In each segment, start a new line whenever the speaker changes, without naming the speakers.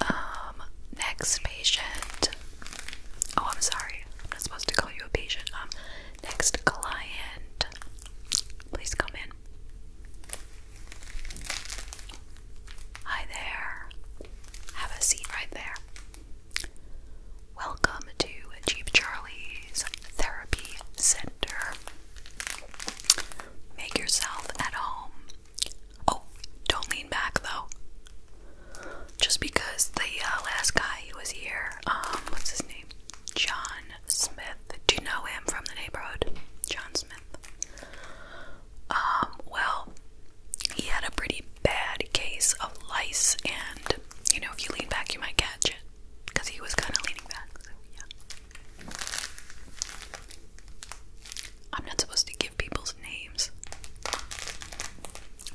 Um, next patient. Oh, I'm sorry. I'm not supposed to call you a patient. Um, next client. Please come in. Hi there. Have a seat right there. Welcome to Jeep Charlie's Therapy Center. Make yourself at home. Oh, don't lean back though. Just because the uh, last guy who was here, um, what's his name? John Smith. Do you know him from the neighborhood? John Smith. Um, well, he had a pretty bad case of lice, and you know, if you lean back, you might catch it because he was kind of leaning back. I'm not supposed to give people's names.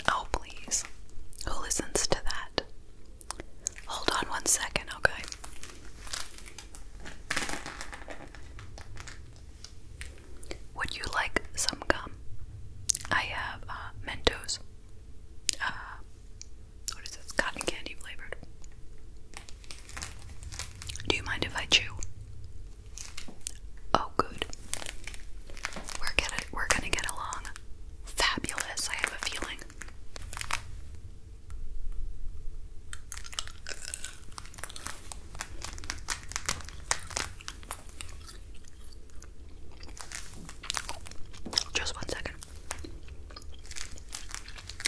Oh, please. Who listens to that? Hold on one second, okay? Would you like some gum? I have uh, Mentos. Uh, what is this? Cotton candy flavored. Do you mind if I chew? Oh, good. We're gonna we're gonna get along. Fabulous, I have a feeling. Just one second.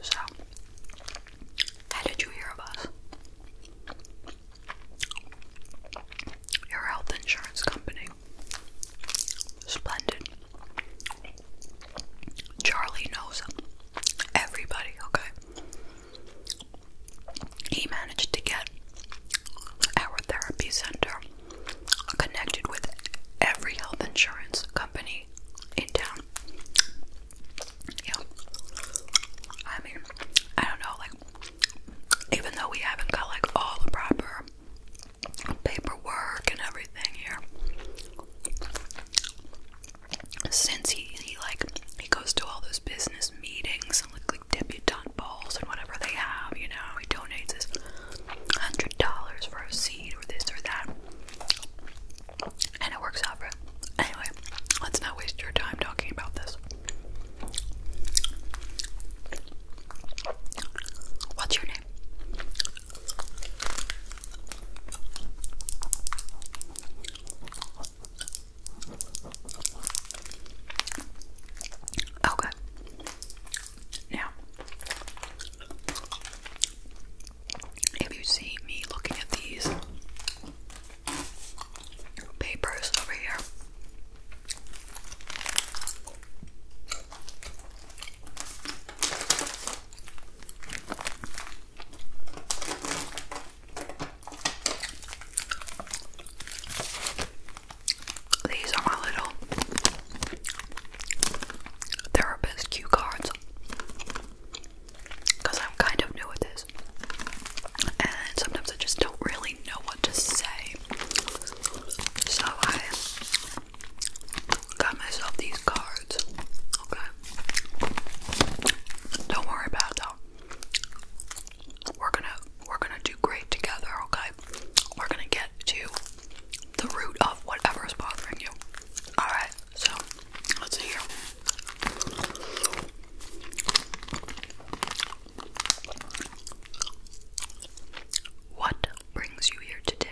So, how did you hear of us? health insurance company. Splendid. Charlie knows everybody, okay? He managed to get our therapy center connected with every health insurance company day in town. Yeah. I mean, I don't know, like, even though we haven't got like all the proper paperwork and everything here, since he, he like, he goes to all those business meetings and like, like debutante balls and whatever they have, you know, he donates his $100 for a seed or this or that and it works out for it. Anyway, let's not waste your time talking about this. What's your name? Okay. Now, if you see me looking at these papers over here, these are my little therapist cue cards because I'm kind of new at this, and sometimes I just don't really know what to say. So I got myself these cards. Okay, don't worry about that. We're gonna we're gonna do great together. Okay, we're gonna get to the root of whatever is bothering you. Alright, so let's see here. What brings you here today?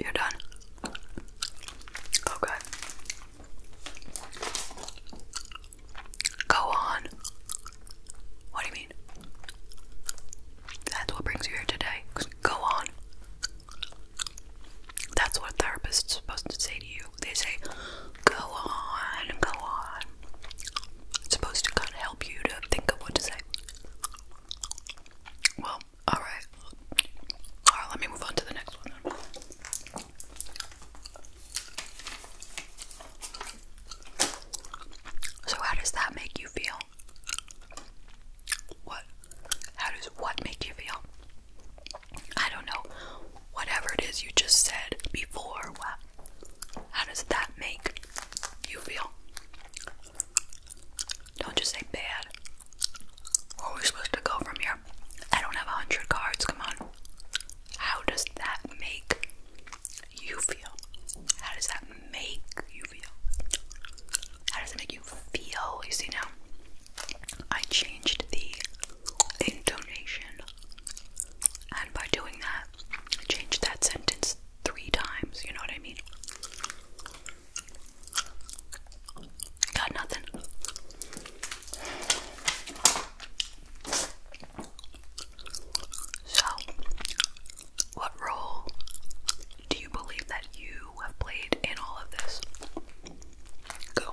You're done. Okay. Go on. What do you mean? That's what brings you here today. Go on. That's what a therapist is supposed to say to you. They say, go on, go on. supposed to kind of help you to think of what to say. Well, all right. All right. Let me move on to the next one. So, how does that make you feel? What? How does what make you feel? I don't know. Whatever it is you just said before, How does that make you feel? Don't just say bad. Where are we supposed to go from here? I don't have a hundred cards, come on. How does that make you feel? How does that make you feel? How does it make you feel? You see now? I changed the intonation. And by doing that, I changed that sentence three times, you know what I mean? Got nothing. So, what role do you believe that you have played in all of this? Go.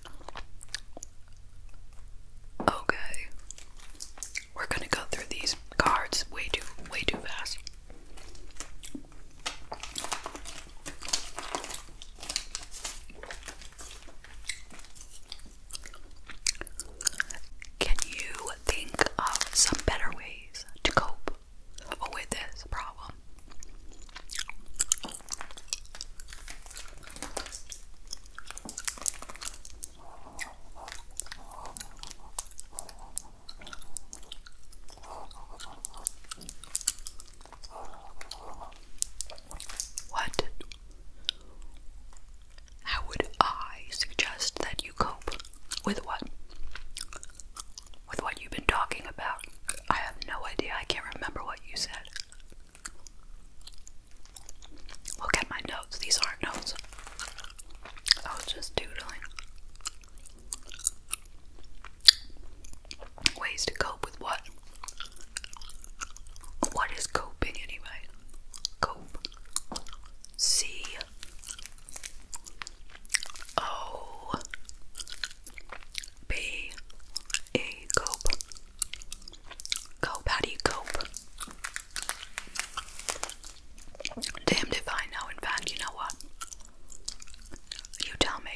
Okay. We're gonna go through these cards way too way too fast. Can you think of some better ways to cope with this problem? What? How would I suggest that you cope? With what? With what you've been talking about. I have no idea. I can't remember what you said. Look at my notes. These aren't notes. I was just doodling. Ways to cope with what? What is coping anyway? Cope. C. O. Oh. P E cope. Cope, how do you cope? Damned if I know. In fact, you know what? You tell me.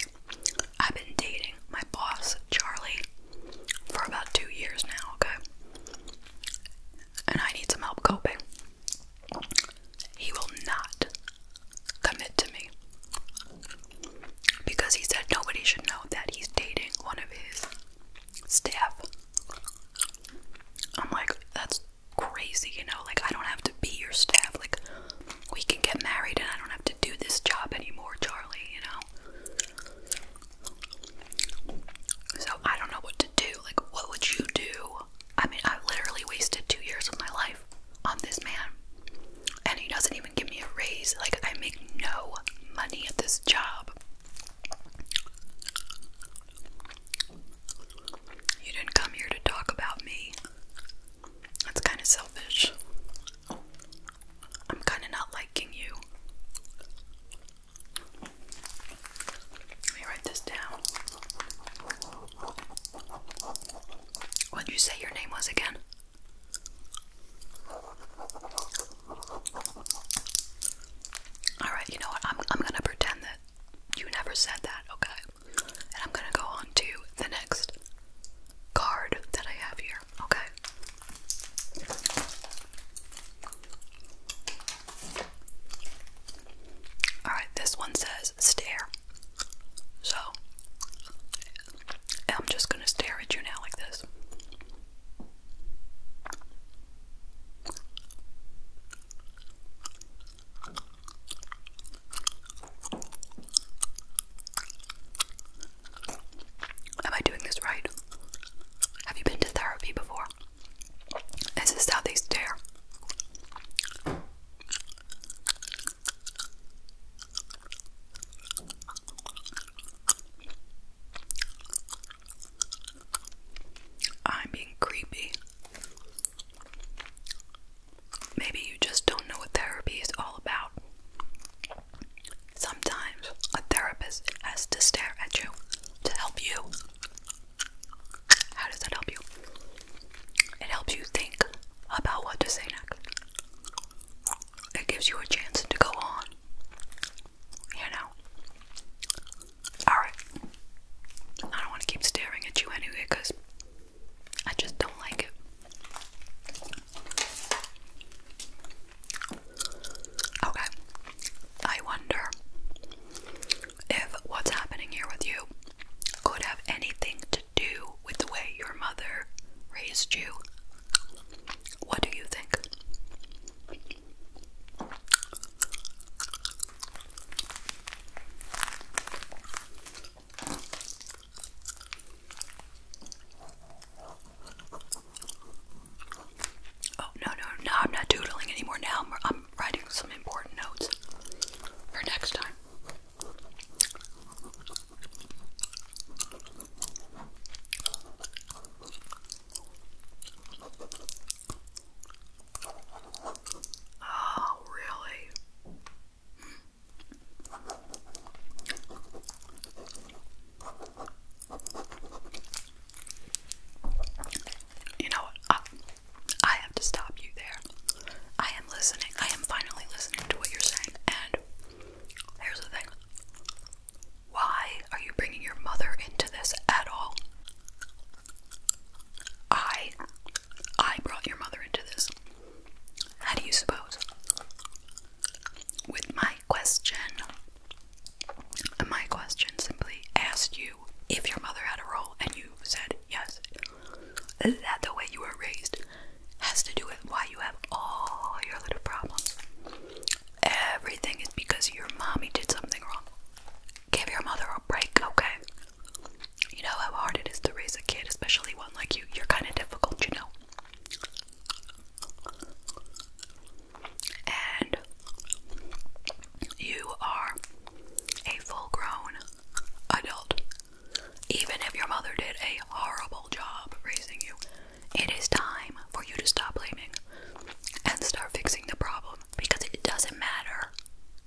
I've been dating my boss, Charlie, for about two years now, okay? And I need some help coping. He will not commit to me because he said nobody should know that he's dating one of his staff. I'm like, that's crazy, you know? Like, I don't have to be your staff. Like, we can get married and I don't have to do this job anymore, Charlie, you know? So, I don't know what to do. Like, what would you do? I mean, I literally wasted two years of my life on this man and he doesn't even give me a raise. Like, I make no money at this job. You didn't come here to talk about me. That's kind of selfish. I'm kind of not liking you. Let me write this down. What'd you say your name was again? All right, you know what? I'm I'm gonna pretend that you never said that, okay? And I'm gonna go on to the next card that I have here, okay? All right, this one says stare. So I'm just gonna stare at you now like this. Am I doing this right? Have you been to therapy before? Is this how they stare? I'm being creepy. Maybe you just don't know what therapy is all about. Sometimes a therapist has to stare at you to help you. How does that help you? It helps you think about what to say next it gives you a chance to go on. You know? Alright. I don't want to keep staring at you anyway because I just don't like it. Okay. I wonder if what's happening here with you could have anything to do with the way your mother raised you. What do you think? Oh, no, no, no, I'm not doodling anymore now. I'm, writing some important notes for next time. Oh, really? You know what? I, have to stop you there. I am listening. I am finally listening to what you're saying. And here's the thing why are you bringing your mother into this at all? I I brought your mother into this. How do you suppose? With my question. My question simply asked you if your mother had a role and you said yes. Is that the way you were raised has to do with why you have all your little problems. Everything is because your mommy did something wrong. Give your mother a break, okay? You know how hard it is to raise a kid, especially one like you. You're kind of difficult, you know. And you are a full grown adult even if your mother did a horrible job raising you, it is time for you to stop blaming and start fixing the problem because it doesn't matter.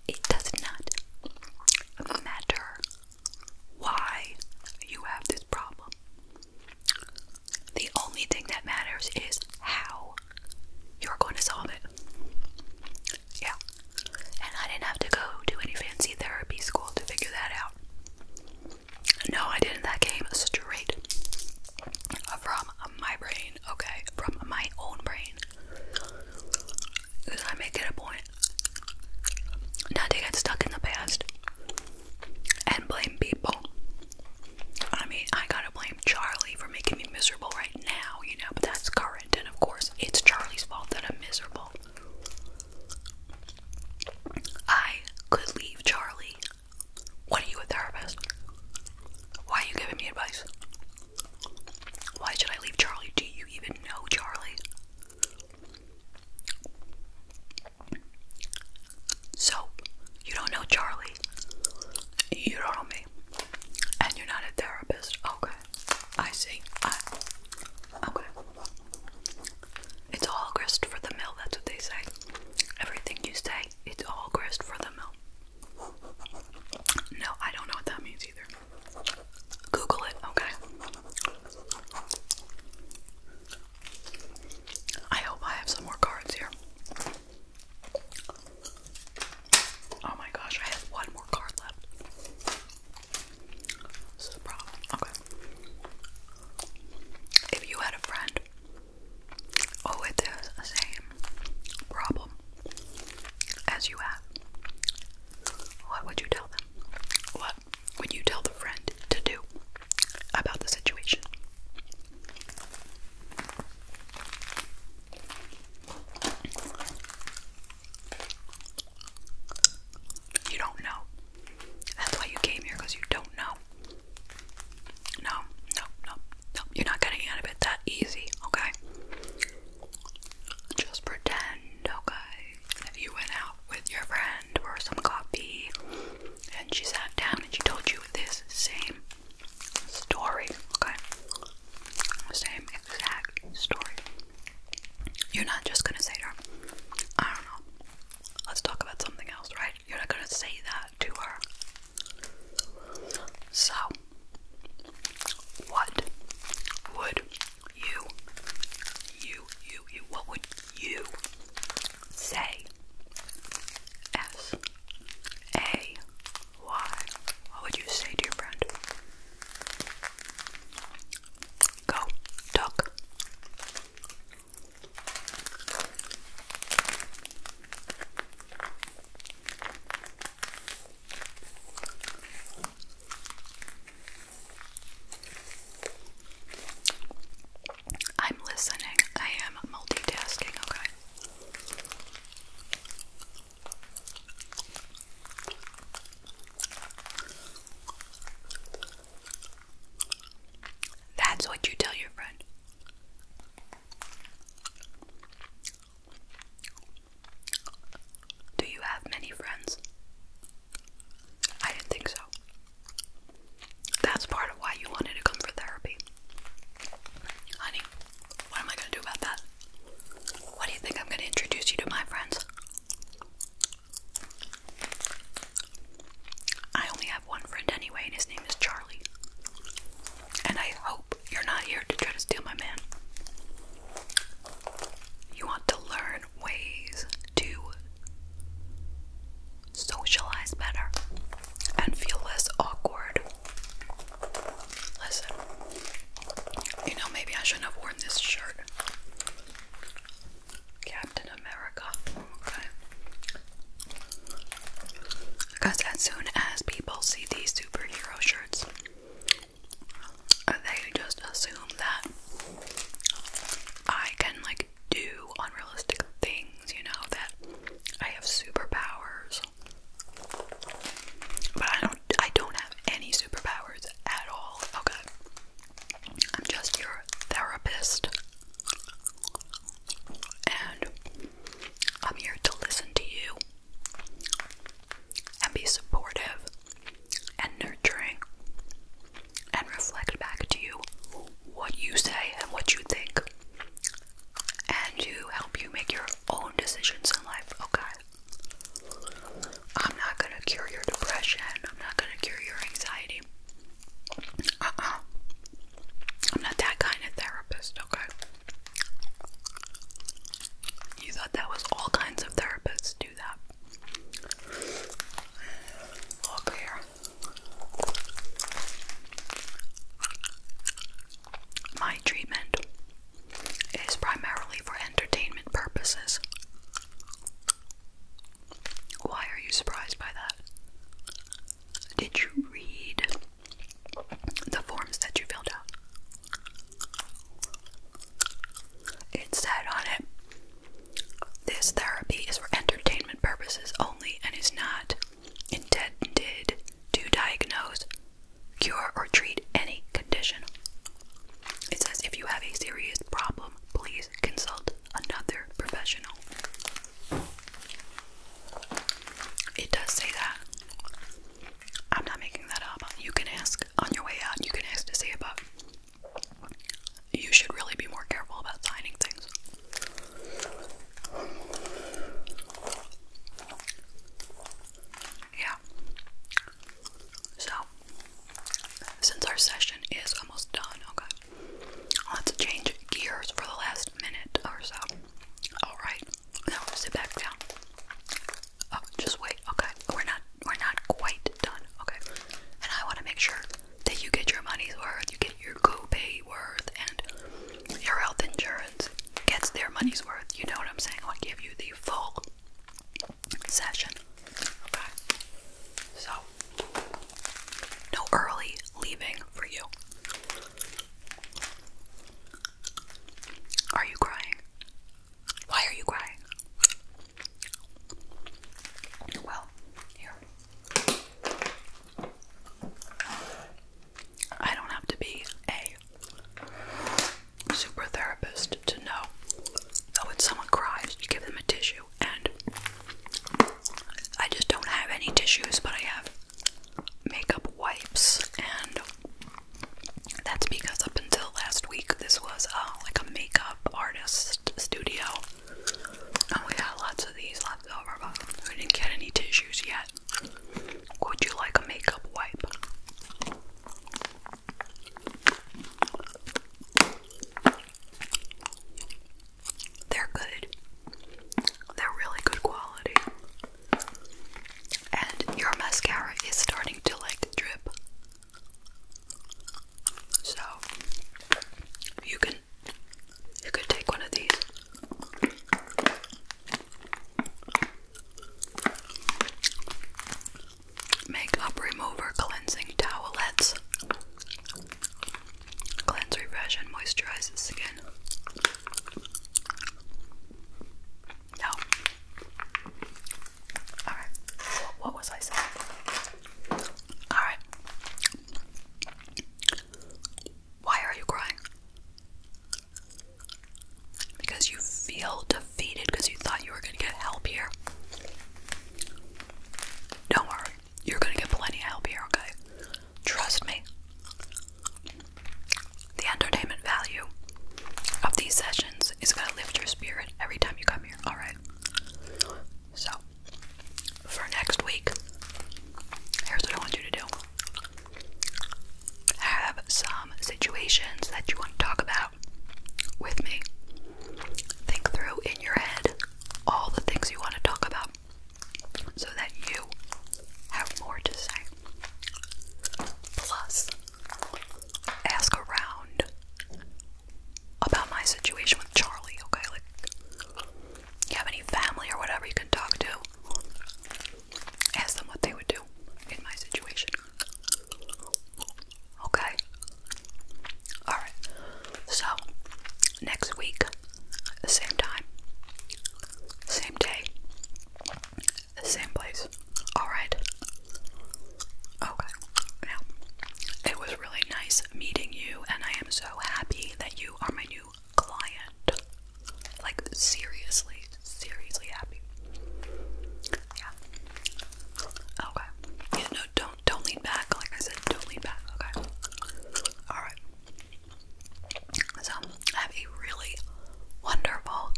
It does not matter why you have this problem. The only thing that matters is how you're going to solve it. Yeah. And I didn't have to go to any fancy therapy school to figure that out. No, I didn't. That came straight from my brain, okay? From my own brain. Because I make it a point not to get stuck in the past and blame people. I mean, I gotta blame Charlie for making me miserable right now, you know, but that's current, and of course, it's Charlie's fault that I'm miserable. I could leave Charlie. What are you a therapist? Why are you giving me advice? Why should I leave Charlie? Do you even know Charlie? So, you don't know Charlie. You don't know me. And you're not a therapist. Okay. I see. okay. It's all grist for the mill, that's what they say. Everything you say, it's all grist for the mill. No, I don't know what that means either. Google it, okay? I hope I have some more cards here. Oh my gosh, I have one more card left. If you had a friend oh with the same problem as you have, what would you tell them? What would you tell the friend to do about the situation? You don't know. That's why you came here because you don't know. No, no, no, no. You're not getting out of it that easy, okay? Just pretend, okay? That you went out with your friend for some coffee and she sat down and she told you this same story, okay? Same exact story. You're not just gonna say to her, I don't know, let's talk about something else, right? You're not gonna say that to her. So, what would you, you, you, you, what would you say? S A why? What would you say to your friend? Go, duck. I'm listening. I am multitasking, okay? That's what you tell your friend. Do you have many friends? I didn't think so. That's part of why you wanted to come for therapy. Honey, what am I going to do about that? What do you think I'm going to introduce you to my friends? I only have one friend anyway, and his name is Charlie. And I hope you're not here to try to steal my man. You want to learn ways to socialize better and feel less awkward Listen, you know, maybe I shouldn't have worn this shirt. Captain America. Okay. Because as soon as people see these superhero shirts, they just assume that I can, like, do unrealistic things, you know, that I have superpowers. But I don't I don't have any superpowers at all. Okay. I'm just your therapist. And I'm here to listen to you and be supportive and nurturing and reflect back to you what you say and what you think and to help you make your own decisions in life, okay? I'm not gonna cure your depression, I'm not gonna cure your anxiety. Uh uh. I'm not that kind of therapist, okay? You thought that was all kinds of therapists do that. Look here. My treatment is primarily for entertainment purposes. Why are you surprised by that? Did you read the forms that you filled out? It said on it, this therapy is for entertainment purposes only and is not intended to diagnose, cure, or treat any condition. It says if you have a serious problem, please consult another professional. It does say that. I'm not making that up. You can ask on your way out, you can ask to see about. You should really be more careful about signing things. Yeah. So, since our session is almost done, okay, let's change gears for the last minute or so. Alright, now sit back down. Oh, just wait, okay. We're not we're not quite done, okay. And I wanna make sure that you get your money's worth, you get your go pay worth and your health insurance gets their money's worth. You know what I'm saying? I'll give you the full session. Okay. So, no early leaving for you. Are you crying? Why are you crying? Well, here. I don't have to be a super therapist to know that when someone cries, you give them a tissue. And I just don't have any tissues, but I have makeup wipes, and that's because up until last week, this was uh, like a makeup artist studio. And we had lots of these left over, but we didn't get any tissues yet. Would you like a makeup wipe? They're good. They're really good quality. And your mascara is starting to like drip. So you can you could take one of these Makeup remover cleansing towelettes. Cleanse, refresh, and moisturize the skin. No. Alright. What was I saying? Alright. Why are you crying? Because you feel defeated because you thought you were going to get help here. Don't worry, you're going to get plenty of help here, okay? Trust me. The entertainment value of these sessions is going to lift your spirit every time you come here, alright? So, for next week, here's what I want you to do have some situations that you want to talk about with me. Think through in your head all the things you want to talk about so that you have more to say. Plus, ask around about my situation with Charlie, okay? Like, you have any family or whatever you can talk to, ask them what they would do in my situation. Okay? Alright. So, next week, same time, same day, same place. Alright? Okay. Now, it was really nice meeting you, and I am so happy that you are my new client. Like, seriously, seriously happy. Yeah. Okay. Yeah, no, don't, don't lean back. Like I said, don't lean back. Okay. Alright. So, have a really wonderful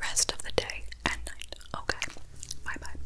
rest of the day and night. Okay. Bye bye.